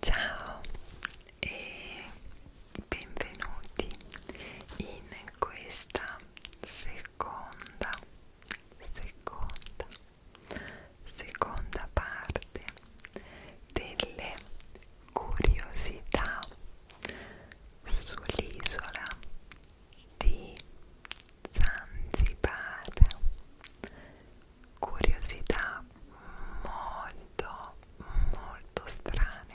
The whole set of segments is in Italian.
Ciao e benvenuti in questa seconda, seconda, seconda parte delle curiosità sull'isola di Zanzibar curiosità molto molto strane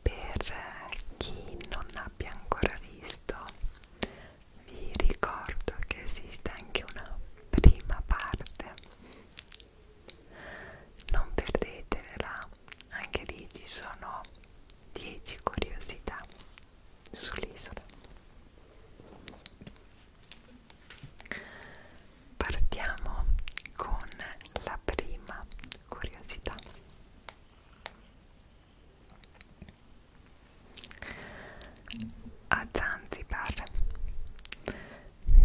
per chi non abbia ancora visto vi ricordo che esiste anche una prima parte non perdetevela anche lì ci sono 10 curiosità sull'isola. Partiamo con la prima curiosità. A Zanzibar,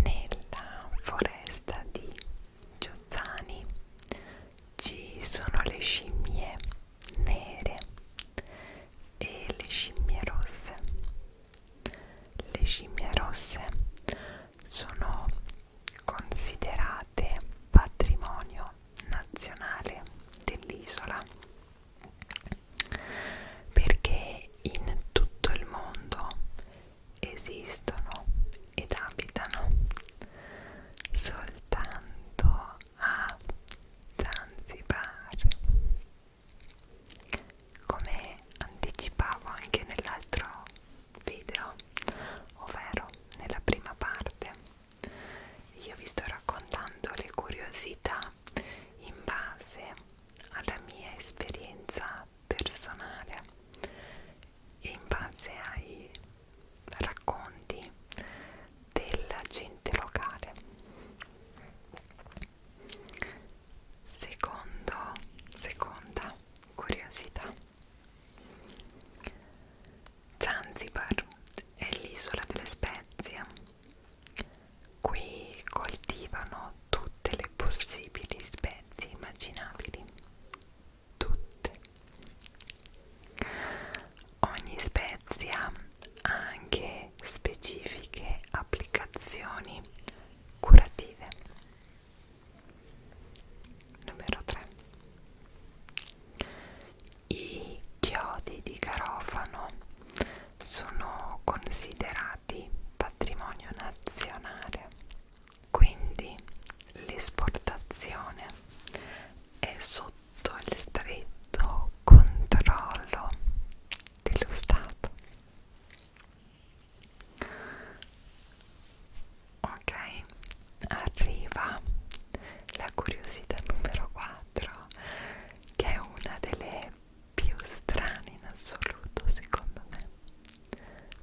nella foresta di Giozani, ci sono le scimmie nere e le scimmie rosse. Le scimmie rosse sono considerate patrimonio nazionale dell'isola perché in tutto il mondo esistono ed abitano soltanto a Zanzibar come anticipavo anche nell'altro video ovvero nella prima parte io vi sto raccontando le curiosità in base alla mia esperienza personale e in base ai racconti della gente locale. Secondo, seconda curiosità. Zanzibar è l'isola delle spezie. Qui coltivano tutte le possibili spezie immaginabili. Tutte ogni spezia ha anche specifiche applicazioni curative. Numero 3. I chiodi di garofano sono considerati patrimonio nazionale, quindi l'esportazione è sottoposta sotto il stretto controllo dello Stato. Ok, arriva la curiosità numero 4, che è una delle più strane in assoluto secondo me.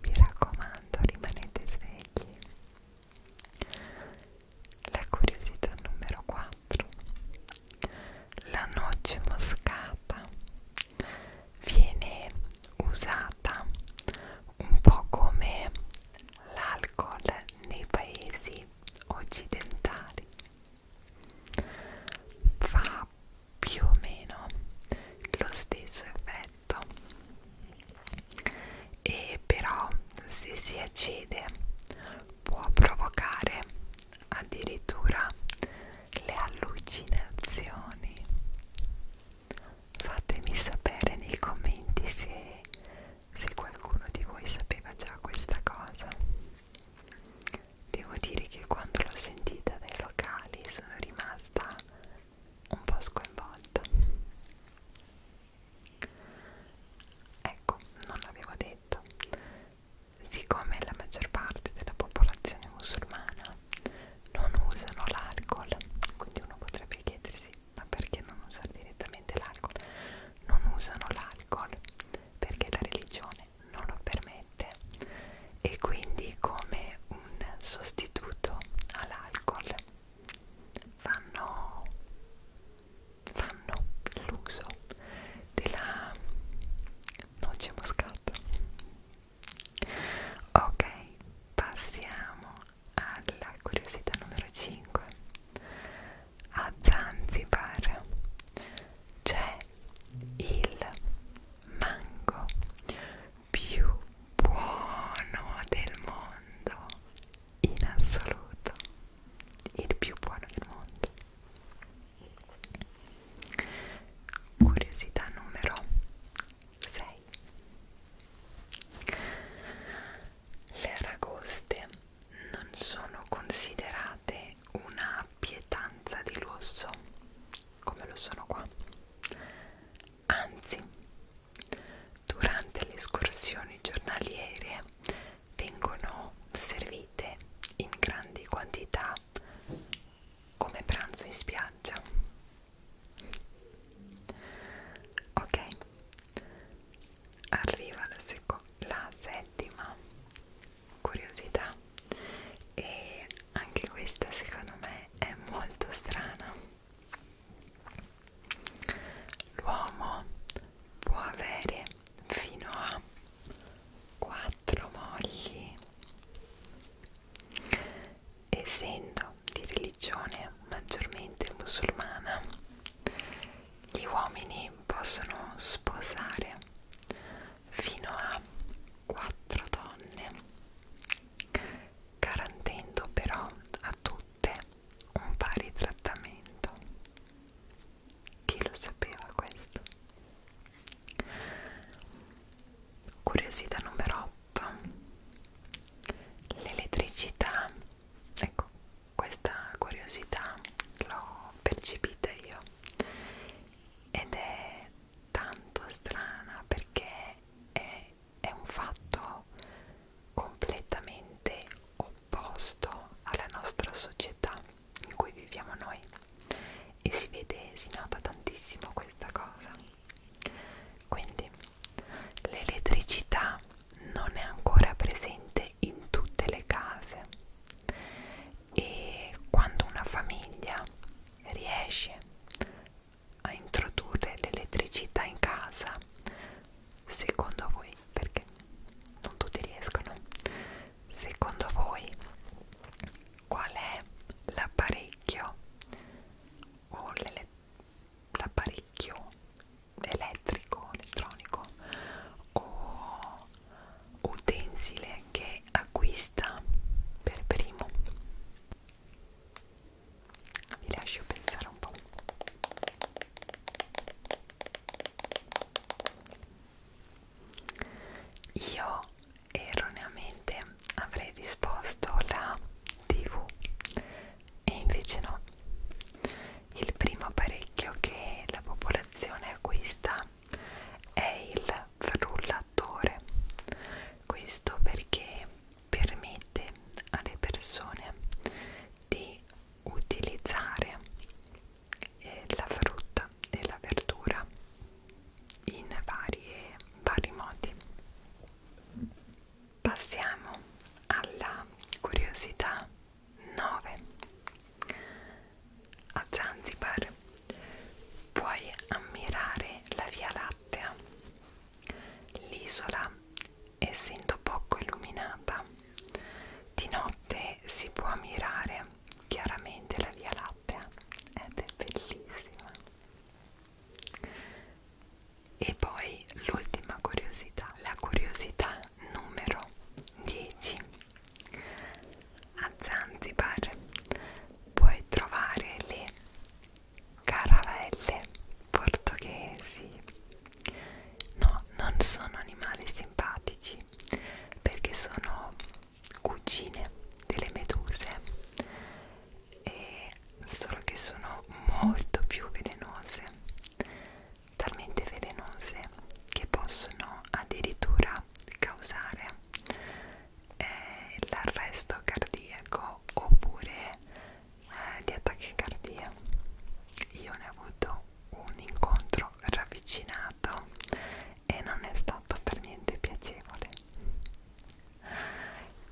Mi raccomando, rimanete svegli. La curiosità numero 4. La noce moscata viene usata un po' come l'alcol nei paesi occidentali. Fa più o meno lo stesso effetto e però se si accede può provocare addirittura le allucinazioni. Fatemi sapere nei commenti se, se qualcuno di voi sapeva già questa cosa. Devo dire che quando l'ho sentita dai locali sono rimasta un po' sconvolta. Ecco, non l'avevo detto. Siccome la maggior parte della popolazione musulmana non usano l'alcol, quindi uno potrebbe chiedersi ma perché non usare direttamente l'alcol? Non usano l'alcol perché la religione non lo permette e quindi come un sostituto all'alcol fanno fanno l'uso della noce moscata ok passiamo alla curiosità numero 5 a Zanzibar c'è il mango più buono del mondo in assoluto il più buono del mondo curiosità numero 6 le aragoste non sono considerate una pietanza di lusso come lo sono qua anzi durante le escursioni giornaliere vengono servite in grandi quantità come pranzo in spiaggia ok arriva la, la settima curiosità e anche questa secondo me è molto strana L'uomo può avere fino a quattro mogli. Essendo di religione maggiormente musulmana, gli uomini possono sposare fino a quattro donne, garantendo però a tutte un pari trattamento. Chi lo sapeva questo? Curiosità numero 8. L'elettricità. Ecco, questa curiosità l'ho percepita io ed è tanto strana perché è, è un fatto completamente opposto posto alla nostra società in cui viviamo noi e si vede, si nota tantissimo questa cosa. Quindi l'elettricità non è ancora presente in tutte le case e quando una famiglia riesce a introdurre l'elettricità in casa secondo voi, perché non tutti riescono, secondo voi qual è l'apparecchio o l'apparecchio elettrico, elettronico o utensile che acquista per primo? Vi lascio pensare un po'. Io erroneamente avrei risposto la TV e invece no. Il primo apparecchio che la popolazione acquista è il frullatore. Questo perché permette alle persone di utilizzare eh, la frutta e la verdura in varie, vari modi. Passiamo alla curiosità 9. A Zanzibar puoi ammirare la Via Lattea, l'isola essendo poco illuminata. Di notte si può ammirare chiaramente la Via Lattea ed è bellissima. E poi l'ultima curiosità, la curiosità numero 10. A Zanzibar puoi trovare le caravelle portoghesi No, non sono animali simpatici perché sono cugine delle meduse e solo che sono molto più velenose, talmente velenose che possono addirittura causare eh, l'arresto cardiaco oppure eh, di tachicardia io ne ho avuto un incontro ravvicinato e non è stato per niente piacevole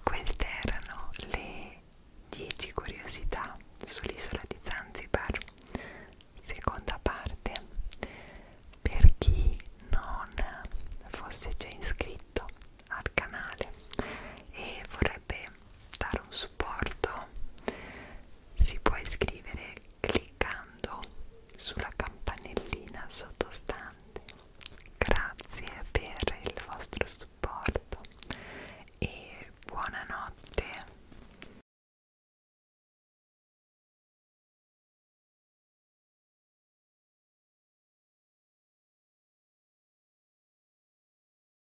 queste erano le 10 curiosità sull'isola di Zanzibar seconda parte per chi non fosse già iscritto al canale e vorrebbe dare un supporto si può iscrivere cliccando sulla campanellina sottostante. Grazie per il vostro supporto e buonanotte.